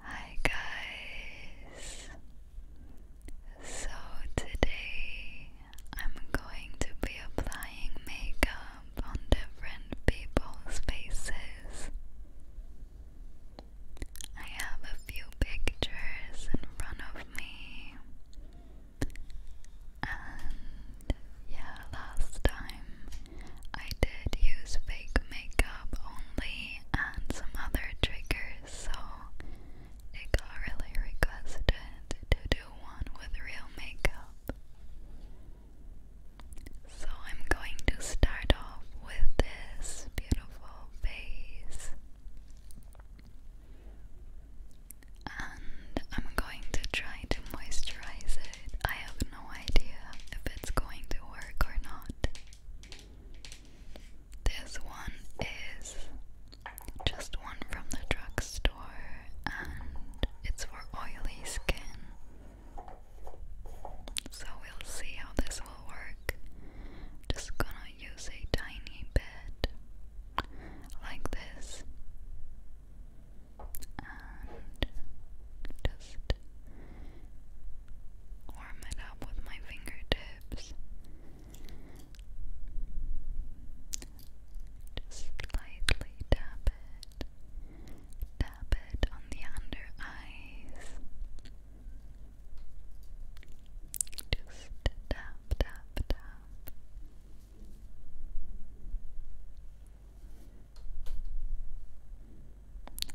Hi guys! So today I'm going to be applying makeup on different people's faces. I have a few pictures in front of me. And yeah, last time I did use fake makeup only and some other triggers, so it got really requested to do one with real makeup. So I'm going to start off with this beautiful face. And I'm going to try to moisturize it. I have no idea if it's going to work or not. This one is just one from the drugstore and it's for oily skin. So we'll see how this will work. Just gonna use a tiny bit like this Warm it up with my fingertips. Just lightly tap it. Tap it on the under eyes. Just tap, tap, tap.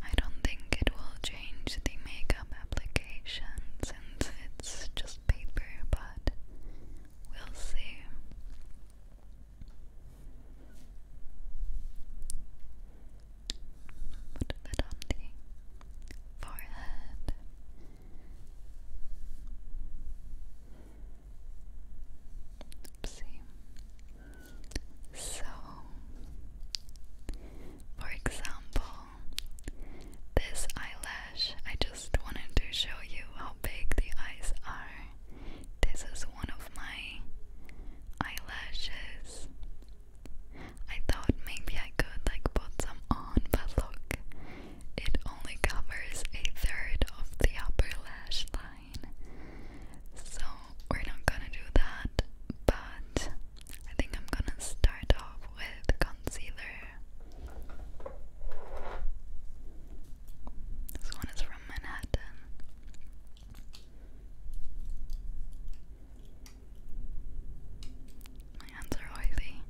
I don't think it will change the makeup application since it's just paper, but we'll see. Put that on the forehead. Oopsie. So, for example, this eyelash, I just wanted to show you how big the eyes are. This is one of my eyelashes. I thought maybe I could like put some on, but look, it only covers a third of the upper lash line. So we're not gonna do that, but I think I'm gonna start off with concealer. This one is from Manhattan. My hands are oily.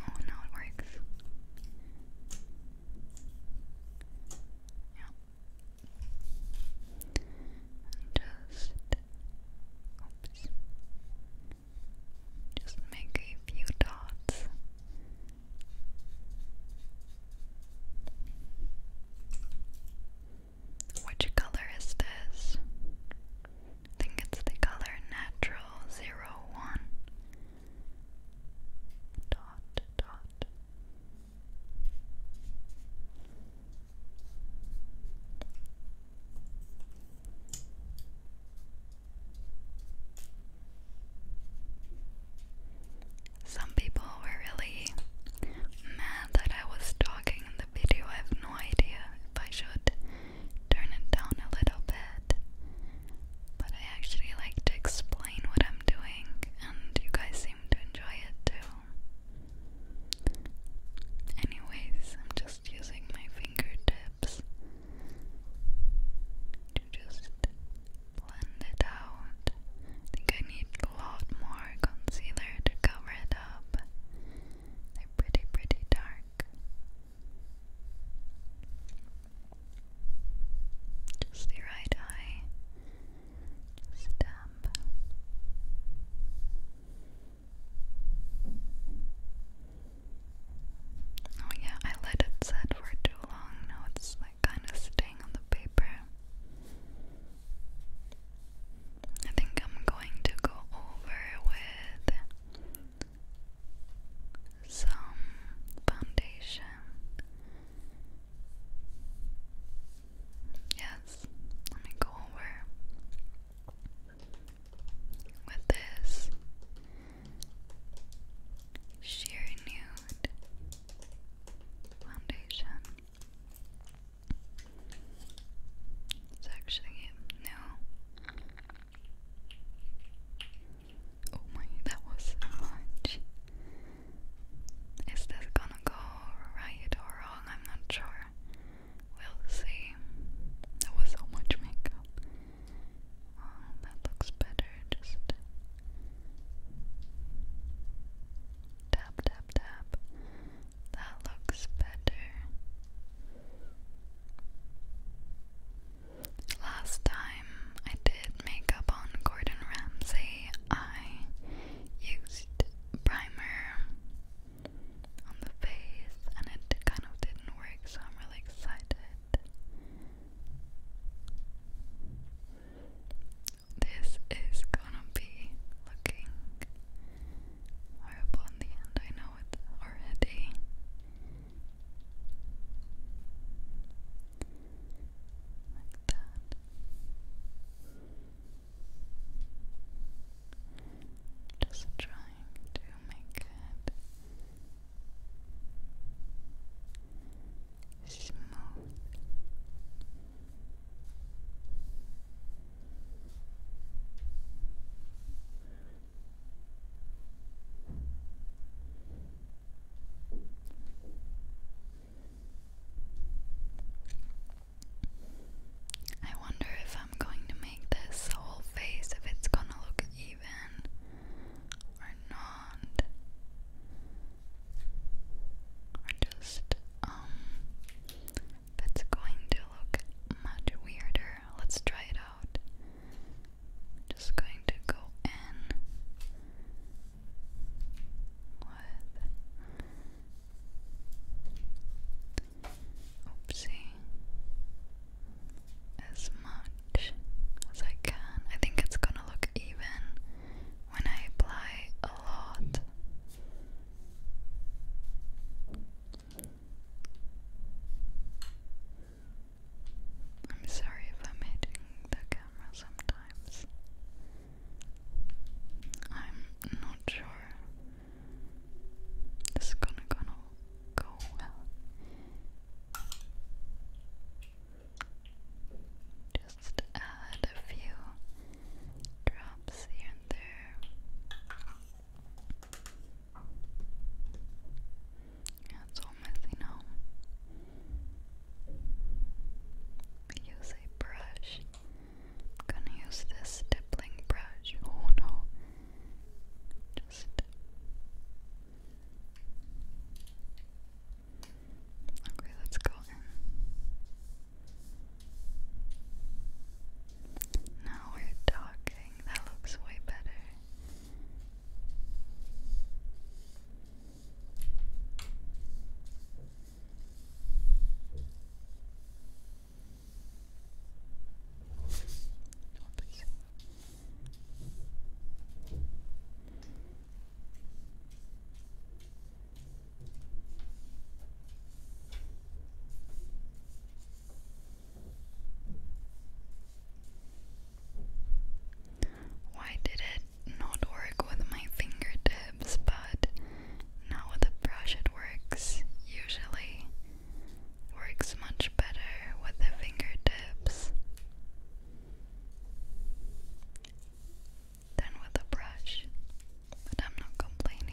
Oh, now it works. Yeah just oops, just make a few dots. Which color is this? I think it's the color natural zero one. Dot dot some people were really mad that I was talking in the video. I have no idea if I should turn it down a little bit. But I actually like to explain what I'm doing, and you guys seem to enjoy it too. Anyways, I'm just using my fingertips to just blend it out. think I need a lot more concealer to cover it up. They're pretty, pretty dark. Just the right eye stamp oh yeah, I let it set for too long now it's like kind of staying on the paper I think I'm going to go over with some foundation Yes, let me go over with this sheer nude foundation. It's actually no. Oh my, that was much. Is this gonna go right or wrong? I'm not sure. We'll see. There was so much makeup. Oh, that looks better. Just tap, tap, tap. That looks better. Last time I did makeup on Gordon Ramsay, I used primer on the face, and it kind of didn't work, so I'm really excited. This is gonna be looking horrible in the end, I know it already. Like that. Just trying to make it smooth. I wonder if I'm going to make this whole face, if it's gonna look even or not. Or just, um, if it's going to look much weirder. Let's try it out. Just going to go in oopsie as much as I can. I think it's gonna look even when I apply a lot. I'm sorry if I'm hitting the camera sometimes. I'm not sure this is gonna gonna go well. Just add a few drops here and there. it's all messy now. Use a brush I'm gonna use this stippling brush. Oh no. Just Okay, let's go in. Now we're talking. That looks way better. Why did it not work with my fingertips, but now with a brush it works usually works much better with the fingertips than with a brush, but I'm not complaining.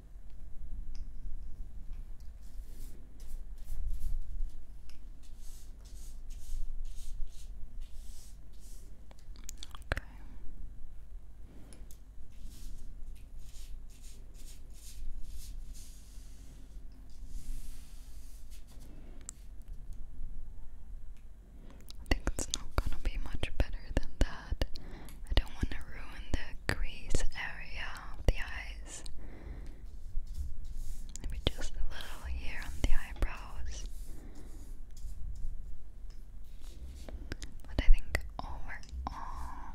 Okay. I think it's not going to be much better than that. I don't want to ruin the crease area of the eyes. Maybe just a little here on the eyebrows. But I think overall,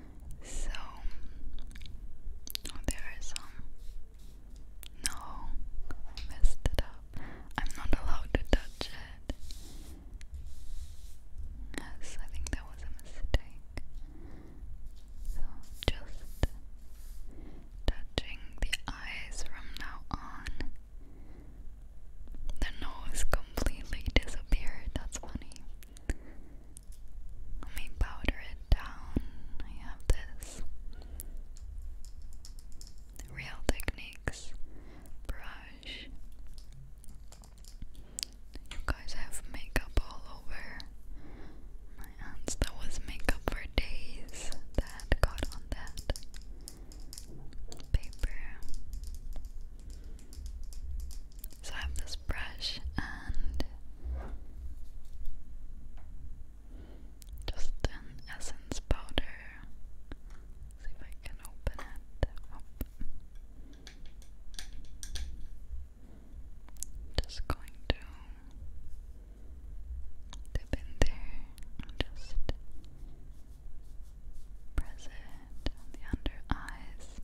So oh, some. No, I messed it up. I'm not allowed to touch it. Yes, I think that was a mistake. So just touching the eyes from now on. The nose completely disappeared. That's funny. Let me powder it down. I have this Real Techniques brush. You guys have makeup all over. My aunt's that was makeup for days that got on that paper. So I have this brush and just an essence powder. see if I can open it. Just going to dip in there just press it under eyes.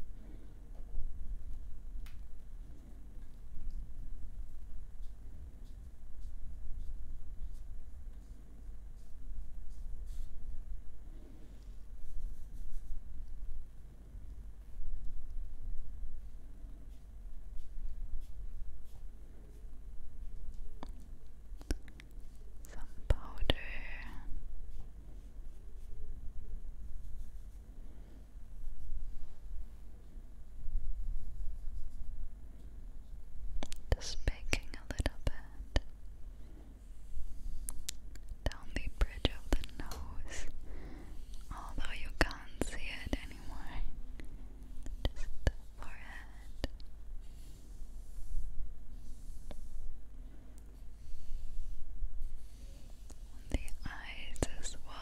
Some powder. Just baking a little bit down the bridge of the nose, although you can't see it anymore. Just the forehead on the eyes as well.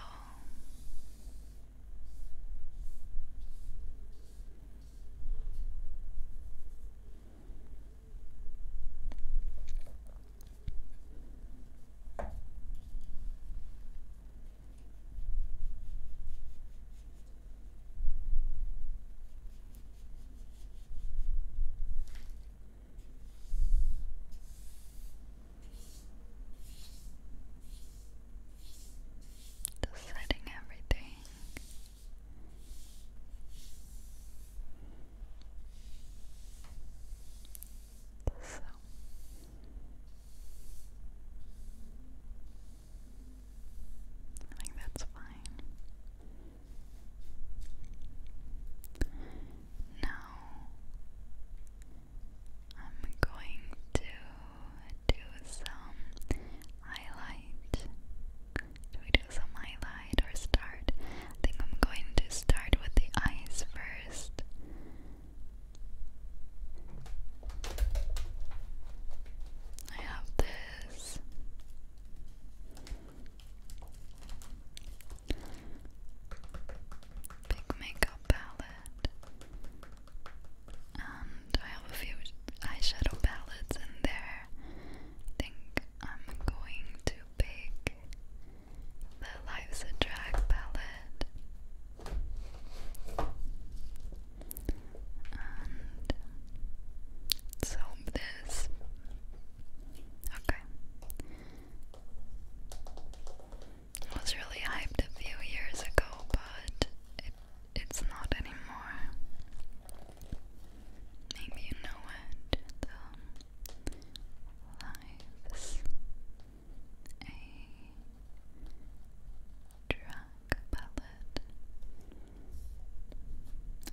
Just setting everything. So. I that's fine. Now I'm going to do some highlight. Do we do some highlight or start? I think I'm going to start with the eyes first. I have this Big makeup palette. And I have a few eyeshadow palettes in there. think I'm going to pick the Life's a Drag palette. And so this. Okay. I was really hyped a few years ago, but it's not anymore. Maybe you know it. lives a drug palette.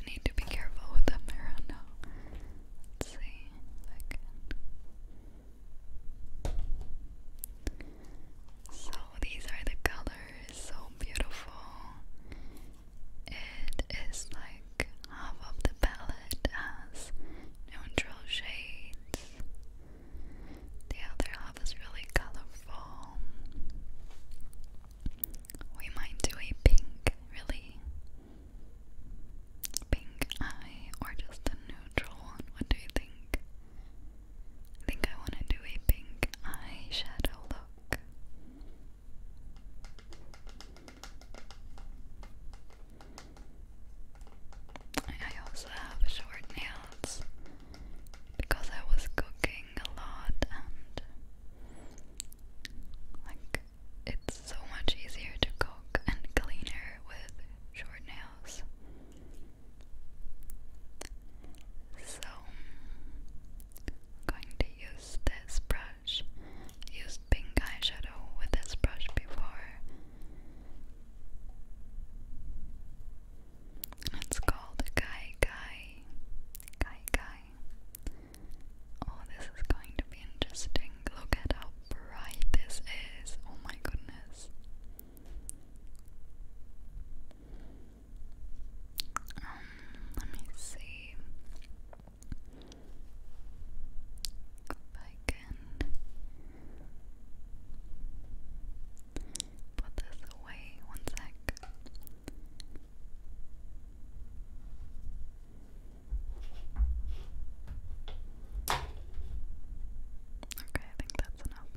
need to be careful with the mirror Let's see if I can so these are the colors, so beautiful. It is like half of the palette has neutral shades. The other half is really colorful. We might do a pink, really pink eye or just a neutral one? What do you think? I think I want to do a pink eyeshadow look. I also have short nails because I was cooking a lot and like it's so much easier to cook and cleaner with short nails. So going to use this brush. used pink eyeshadow with this brush before. It's called Kai Kai. Kai Kai. Oh, this is going to be interesting. Look at how bright this is. Oh my goodness. Um, let me see if I can put this away. One sec. Okay, I think that's enough.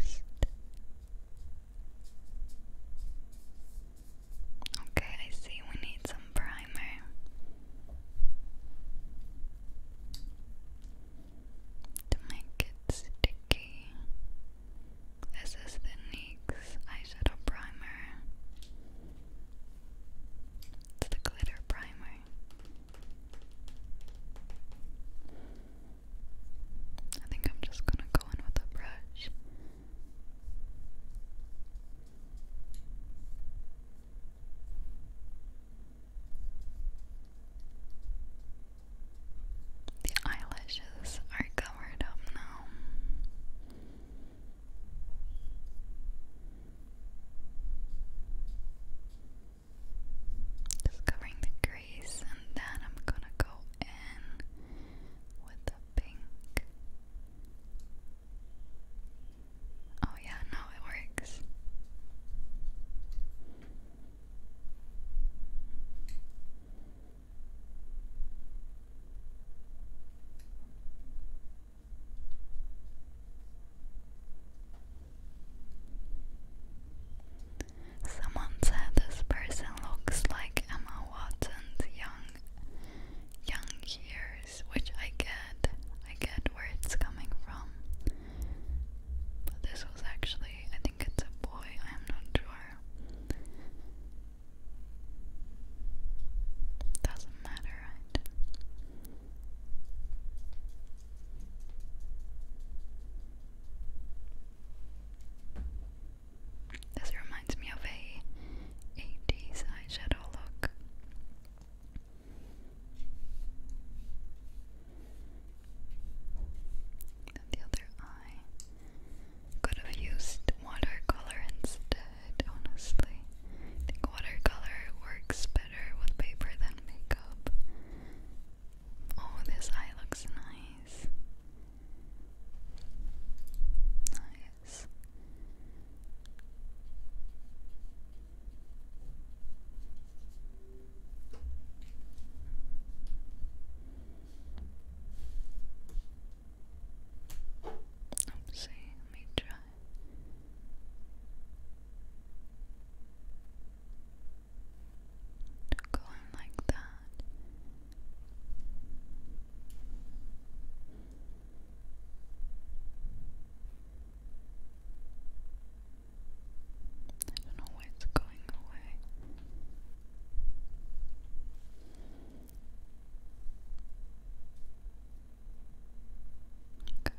Just Okay, I see we need some primer. To make it sticky. This is the NYX eyeshadow primer. It's the glitter primer. I think I'm just gonna go in with a brush. The eyelashes are covered up now. Just covering the crease, and then I'm gonna go in with the pink. Oh, yeah, no, it works. Someone said this person looks like Emma Watson's young young years, which I get. I get where it's coming from. this was actually I think it's a boy, I'm not sure. Doesn't matter, This reminds me of a 80s eyeshadow look. the other eye. Could have used watercolor instead, honestly. I think watercolor works better with paper than makeup. Oh, this eye looks nice. Nice. Let's see, let me try. Go in like that. I don't know why it's going away. Okay.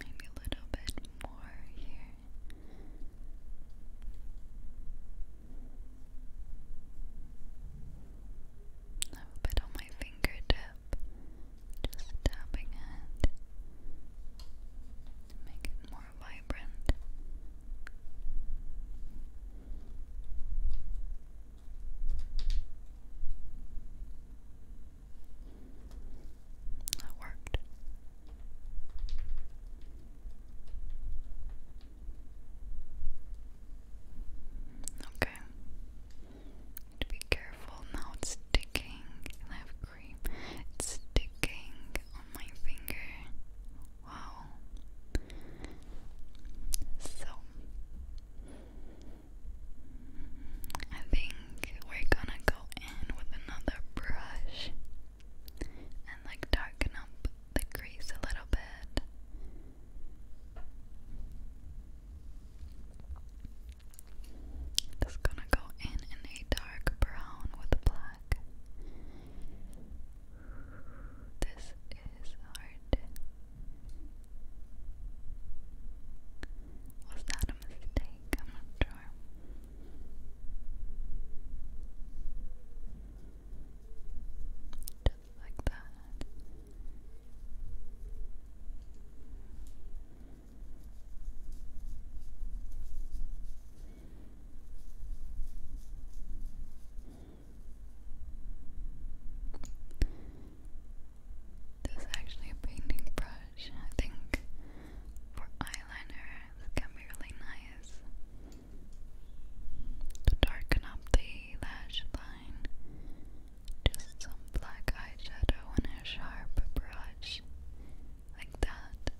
Maybe a little bit more here. A little bit on my fingertip, just tapping it to make it more vibrant. That worked. Okay. To be careful now, it's sticking. I have cream. sticking on my finger. Wow. So, I think we're gonna go in with another brush and like darken up the crease a little bit. Just gonna go in in a dark brown with black back. This is hard. Was that a mistake? I'm not sure. Just like that. This is actually a painting brush, I think, for eyeliner. This can be really nice to darken up the lash line. Just some black eyeshadow and a sharp brush, like that.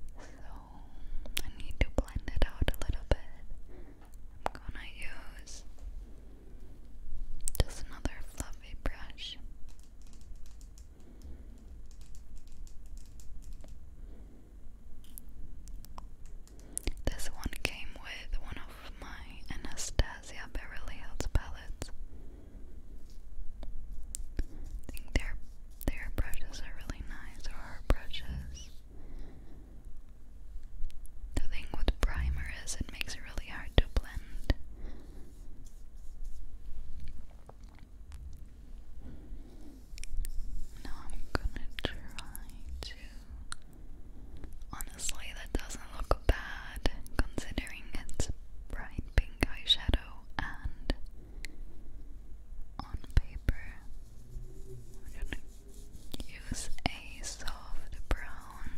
So I need to blend it out a little bit. I'm gonna use just another fluffy brush. This one came with one of my Anastasia Beverly Hills palettes. I think their their brushes are really nice, or brushes. The thing with primer is it makes it really hard to blend. Now I'm gonna try to. Honestly, that doesn't look bad considering it's bright pink eyeshadow, and on paper, I'm gonna use a soft brown.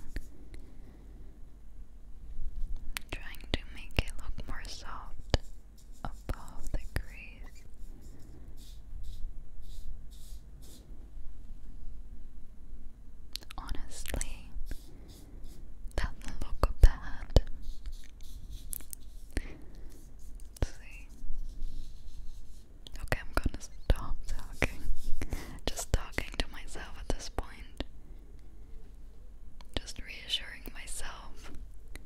trying to make it look more soft above the crease. Honestly, doesn't look bad. Okay, I'm gonna stop talking. Just talking to myself at this point. Just reassuring myself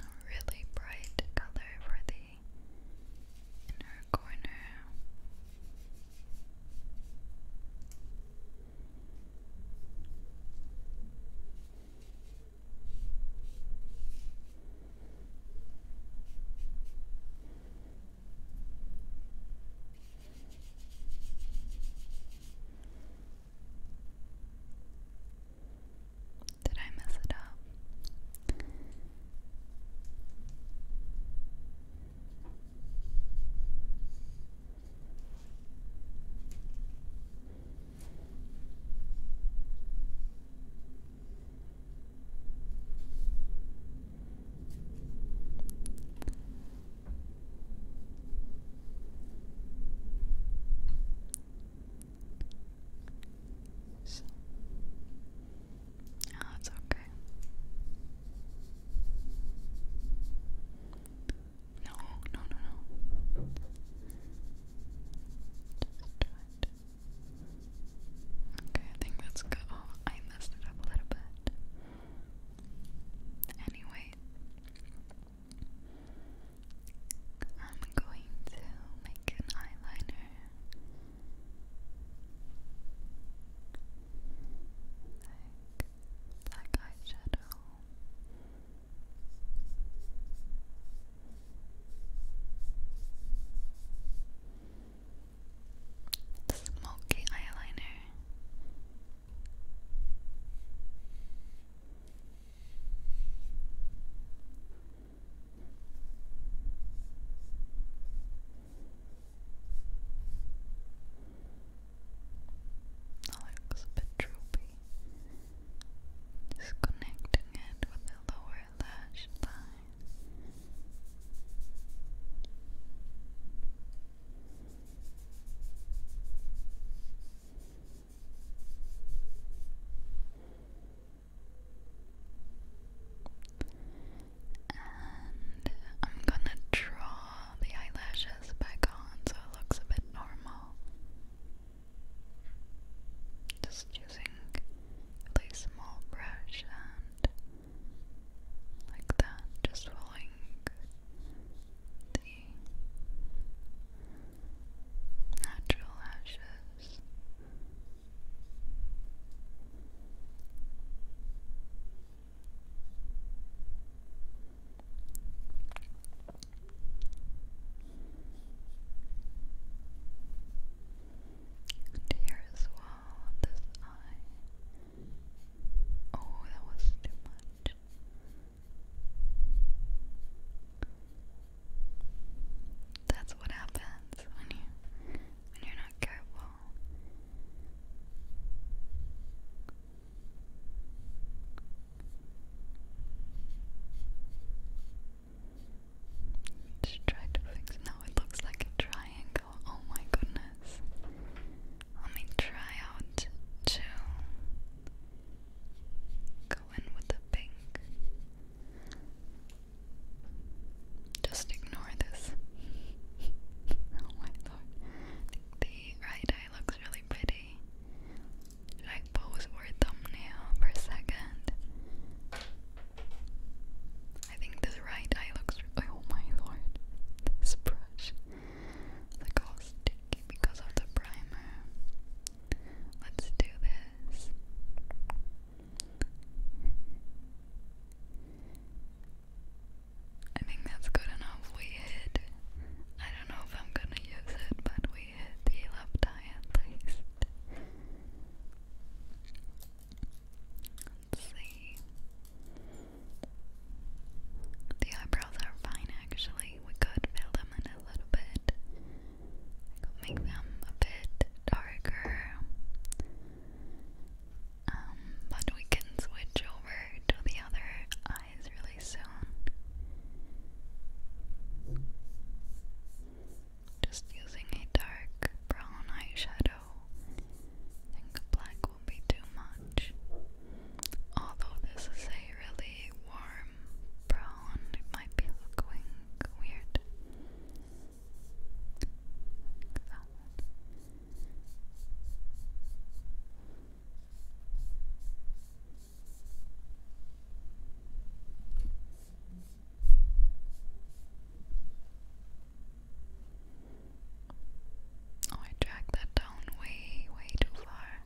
A really bright color for the inner corner. Did I mess it up? So. Oh, it's okay. No, no, no, no. Just try it. Okay, I think that's good. Oh, I messed it up a little bit. Anyway, I'm going to make an eyeliner. Like black eyeshadow. Smoky eyeliner. That looks a bit droopy. Just connecting it with the lower lash line. And I'm gonna draw the eyelashes back on so it looks a bit normal. Just using a small brush and like that, just following the natural ashes. And here as well, this eye. Oh, that was too much. That's what happens when you when you're not careful. Just try to fix. Now it looks like a triangle. Oh my goodness. Let me try out to go in with the pink. Just ignore this. oh my lord. I think the right eye looks really pretty. Should pose for thumbnail for second? I think this right eye looks. Oh my lord. This brush. They oh, got sticky because of the primer. Let's do this. I think that's good enough. We hit. I don't know if I'm gonna use it, but we hit the left eye at least. see. The eyebrows are fine actually. We could fill them in a little bit. make them a bit darker. Um, but we can switch over to the other eyes really soon. Just using a dark brown eyeshadow. think black will be too much. Although this is a really warm brown, it might be looking weird. Oh, I dragged that down way, way too far.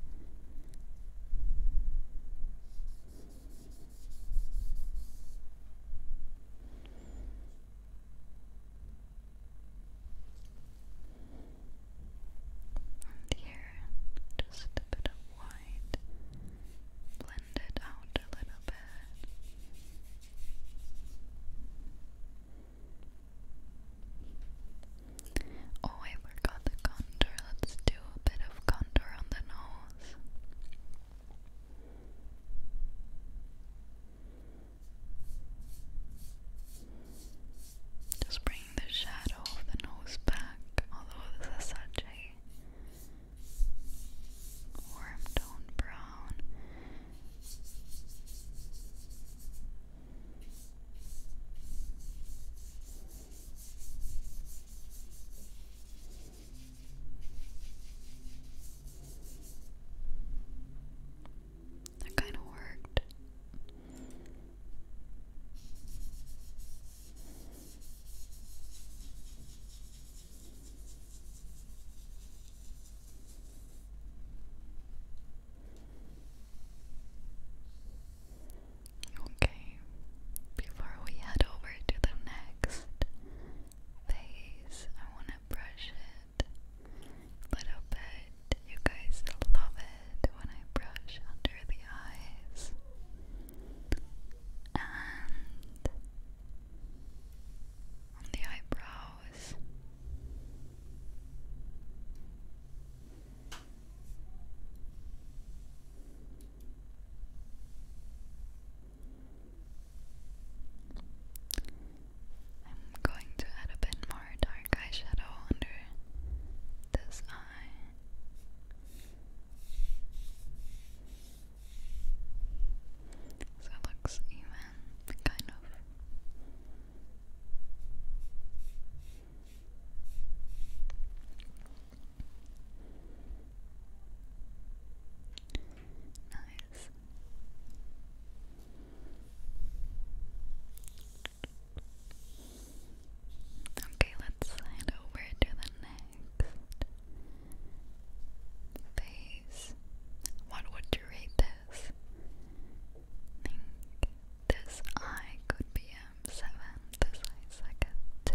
And here, just a bit of white, blend it out a little bit. Oh, I forgot the contour. Let's do a bit of contour on the nose. Just bring the shadow of the nose back, although this is such a warm tone brown. That kind of worked. Okay, before we head over to the next phase, I want to brush it a little bit. You guys love it when I brush under the eyes. And the eyebrow, nose. I'm going to add a bit more dark eyeshadow under this eye. So it looks even, kind of. Nice. Okay, let's slide over to the next phase. What would you rate this? this eye could be a um, 7 this eye's like 2.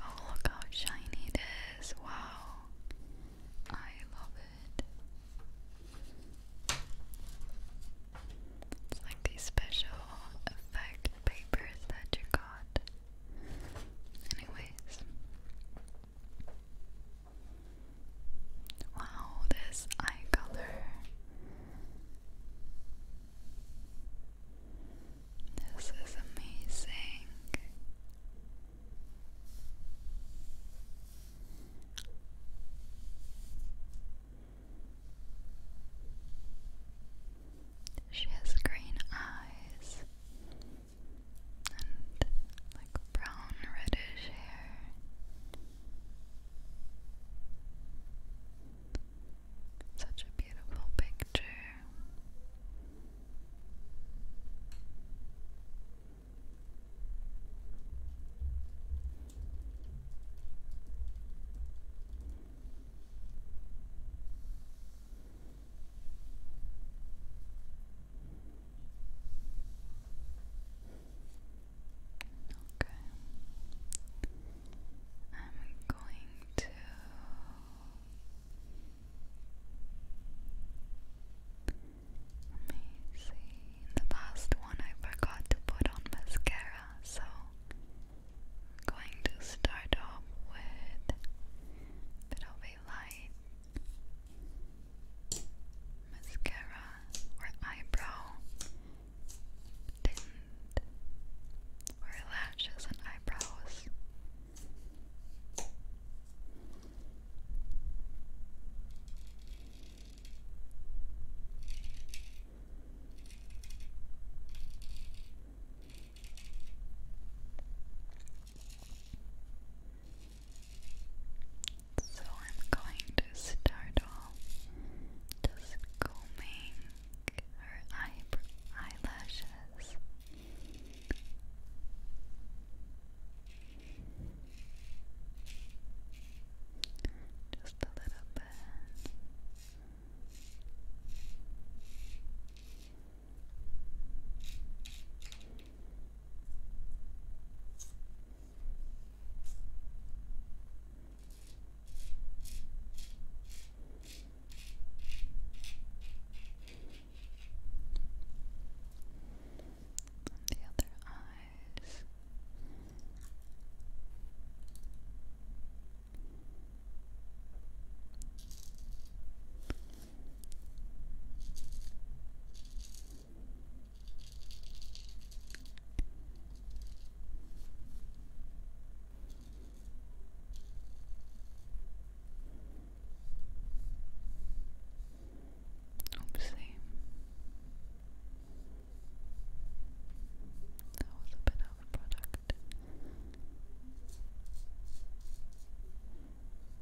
Oh, look how shiny it is! Wow! I love it. It's like these special effect papers that you got. Anyways, Wow, this eye color. This is amazing. She has green eyes and like brown reddish hair. Such a beautiful picture. Okay. I'm going to let me see. The last one I forgot to put on mascara, so going to start off with a bit of a light mascara or eyebrow tint or lashes and eyebrows. So I'm going to start off just combing her eyelashes. Just a little bit the other eyes. Oopsie. That was a bit of a product.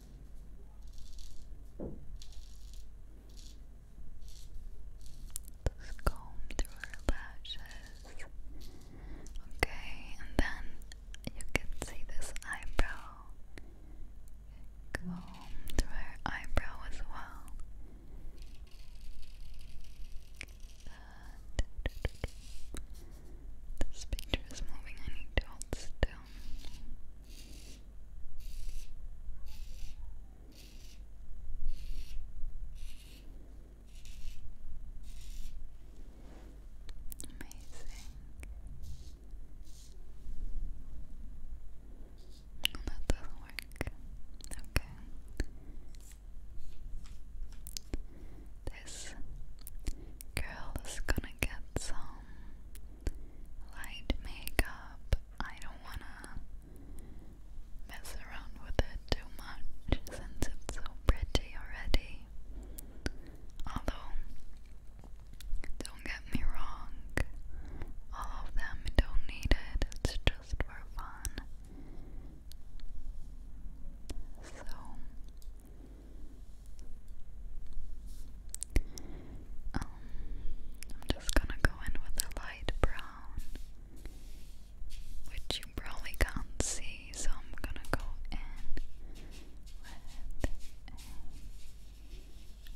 Just through her lashes. Okay, and then you can see this eyebrow. Comb through her eyebrow as well. That. picture is moving. I need to hold still. Amazing. Oh, that doesn't work. Okay. This girl is gonna get some light makeup. I don't wanna mess around with it too much since it's so pretty already. Although, don't get me wrong, all of them don't need it, it's just for fun. So, um, I'm just gonna go in with a light brown, which you probably can't see, so I'm gonna go in with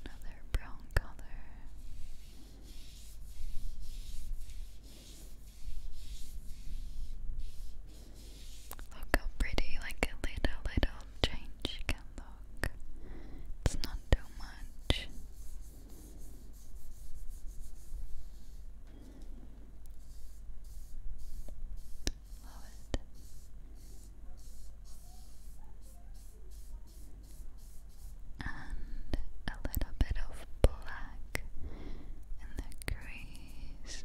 another brown color. Look how pretty, like a little, change can look block. It's not too much. And a little bit of black in the crease.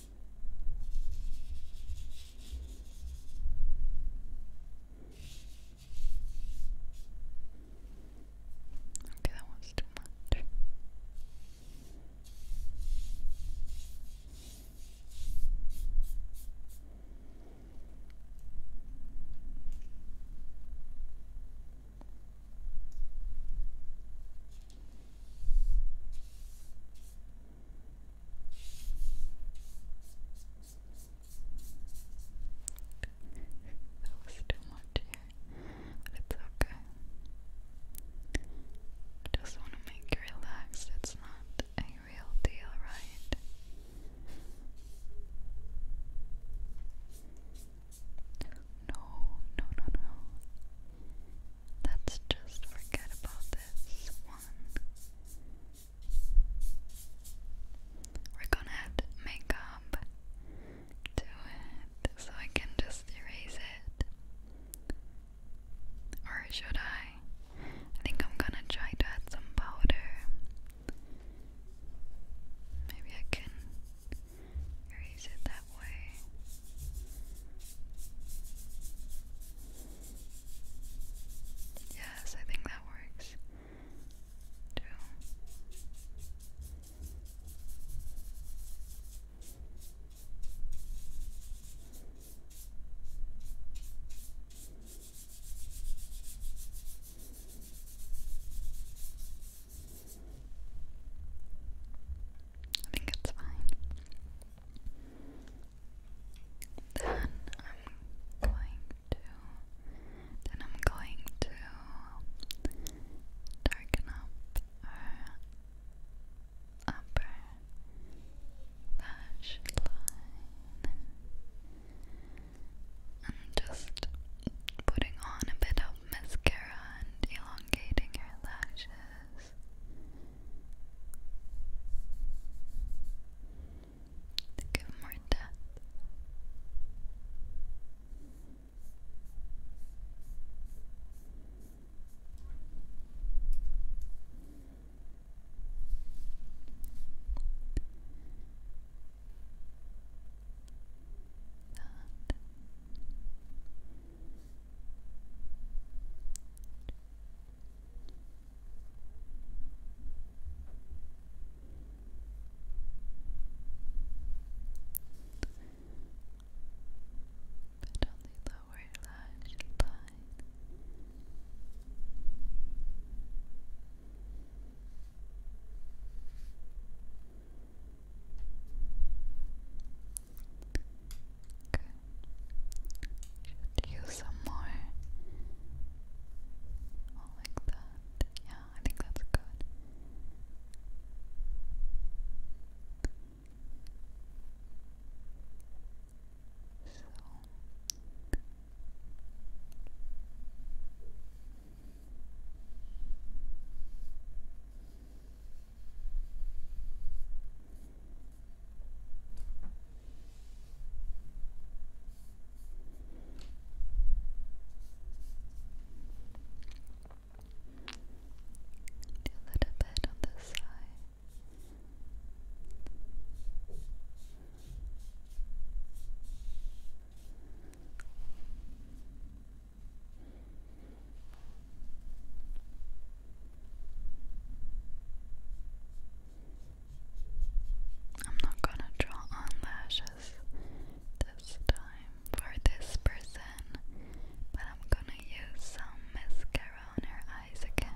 Okay, that one's too much that was too much it's okay. just want to make you relax. It's not a real deal, right? No, no, no, no. Let's just forget about this one. We're gonna add makeup to it so I can just erase it. Or should I? I think I'm gonna try to add some powder. Maybe I can erase it that way. Yes, I think that works. Two. I think it's fine. Then I'm going to then I'm going to darken up our upper lash line and just putting on a bit of mascara and elongating your lashes Think of more death. But on the lower lash line. Good. Should you some more. All like that. Yeah, I think that's good. So do a little bit on this side. I'm not gonna draw on lashes this time for this person, but I'm gonna use some mascara on her eyes again.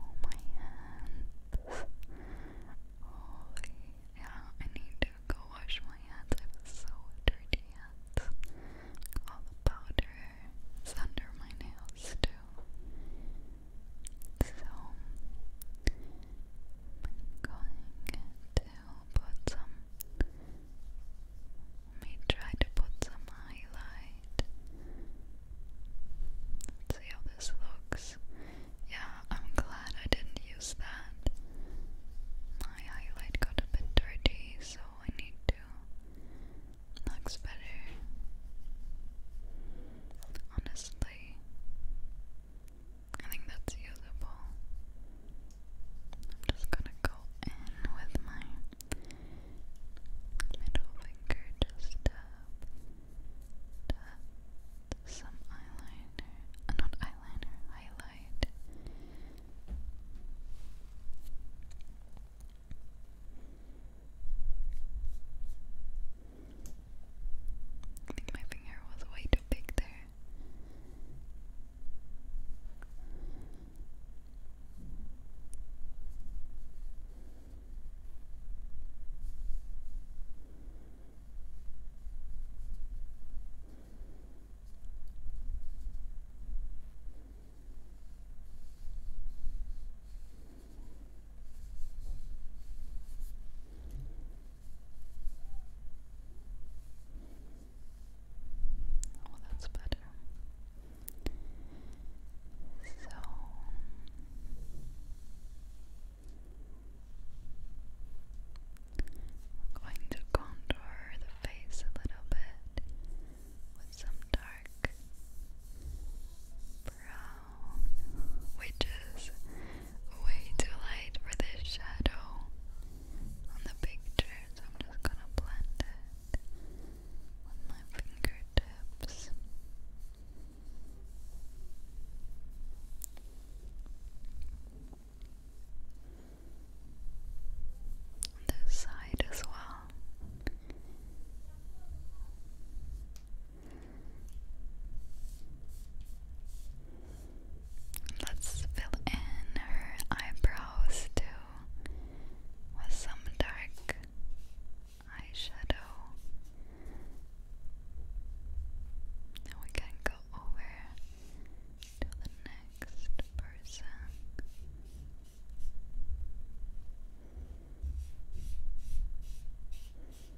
Oh, my hands. Holy. Yeah, I need to go wash my hands. I have so dirty hands. All the powder is under my nails, too. So, going to put some let me try to put some highlight see how this looks yeah, I'm um, glad I didn't use that my highlight got a bit dirty so I need to looks better honestly I think that's usable. I'm just gonna go in with my middle finger, just tap, tap some eyeliner, uh, not eyeliner, highlight. I think my finger was way too big there. Oh, that's better. So I'm going to contour the face a little bit with some dark brown, which is way too light for this shadow on the picture, so I'm just gonna blend it with my fingertips. this side as well. Let's fill in her eyebrows too with some dark eyeshadow. Now we can go over to the next person.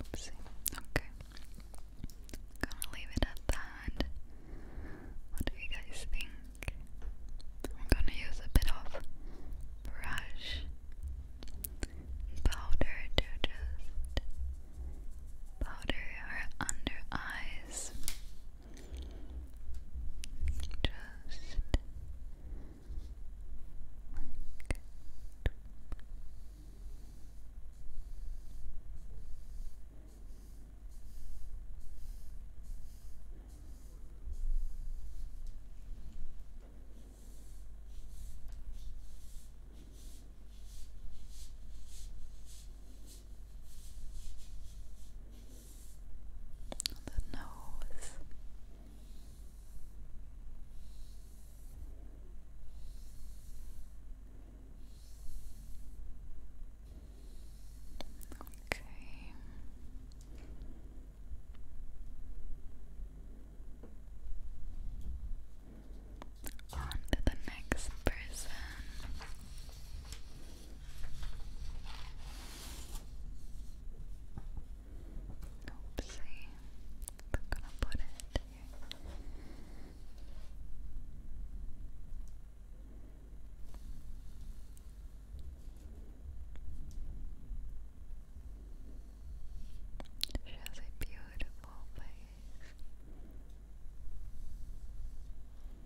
Oopsie. Okay. Gonna leave it at that. What do you guys think? I'm gonna use a bit of brush powder to just powder her under eyes. Just like Good on the nose. Okay. On the next person. Oopsie. I'm gonna put it She has a beautiful face.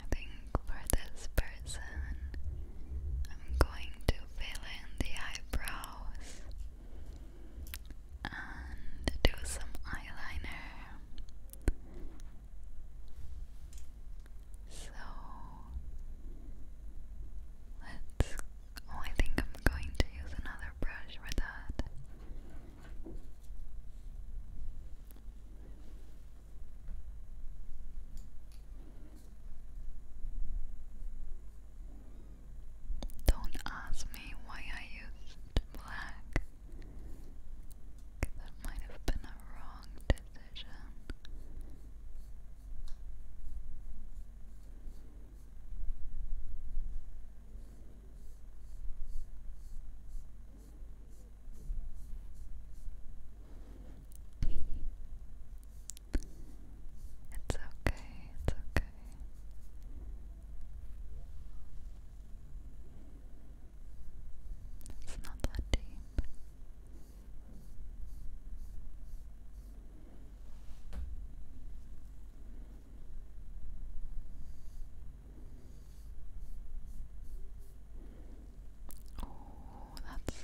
I think for this person, I'm going to fill in the eyebrows and do some eyeliner. So let's. Oh, I think I'm going to use another brush for that. Don't ask me why I used black, that might have been a wrong decision. It's okay, it's okay. It's not that deep. Oh, that's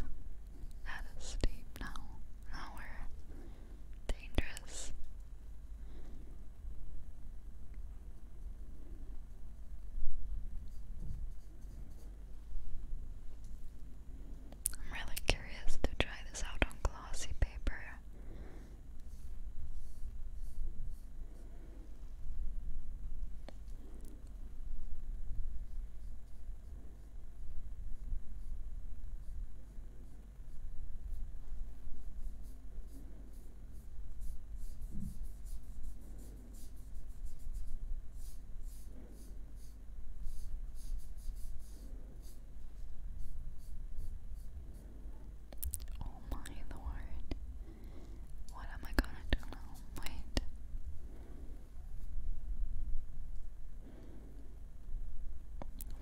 that is steep now. Now we're dangerous. I'm really curious to try this out on glossy paper. Oh, my Lord. What am I gonna do now? Wait.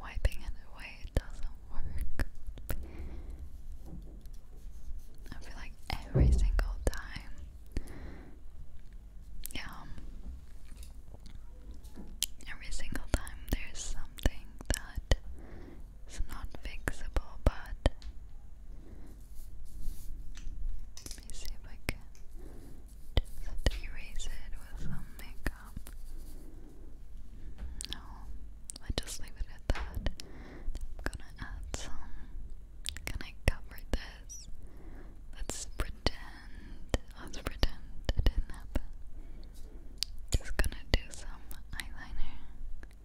Wiping it away, it doesn't work. I feel like every single time. Yeah. Every single time there's something that is not fixable, but let me see if I can just erase it with some makeup. No, I just leave it at that. I'm gonna add some. Can I cover this? Let's pretend. Let's pretend it didn't happen. Just gonna do some eyeliner.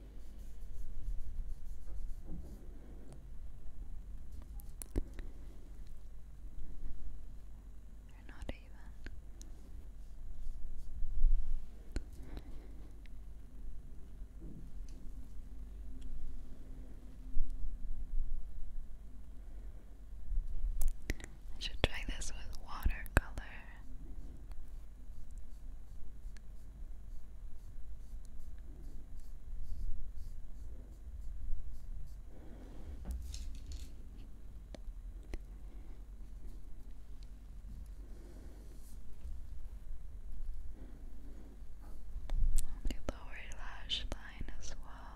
you I should try this with watercolor. On the lower lash line as well.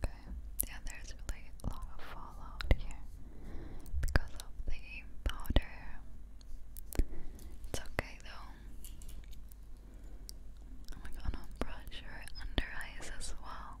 Okay, yeah, there's really a lot of fallout here because of the powder. It's okay though. Oh I'm gonna brush under eyes as well.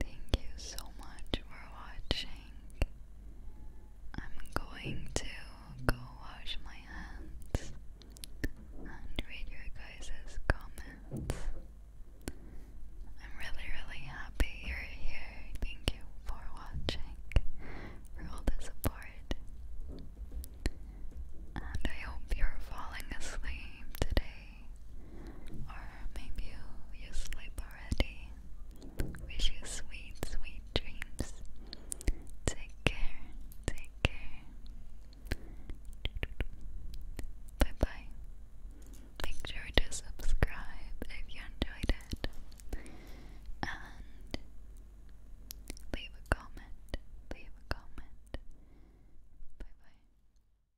Thank you so much for watching. I'm going to go wash my hands and read your guys' comments. I'm really, really happy you're here. Thank you for watching, for all the support. And I hope you're falling asleep today or maybe you, you sleep already. Wish you sweet, sweet dreams. Take care, take care. Bye bye. Make sure to subscribe if you enjoyed it. And leave a comment. Leave a comment. Bye bye.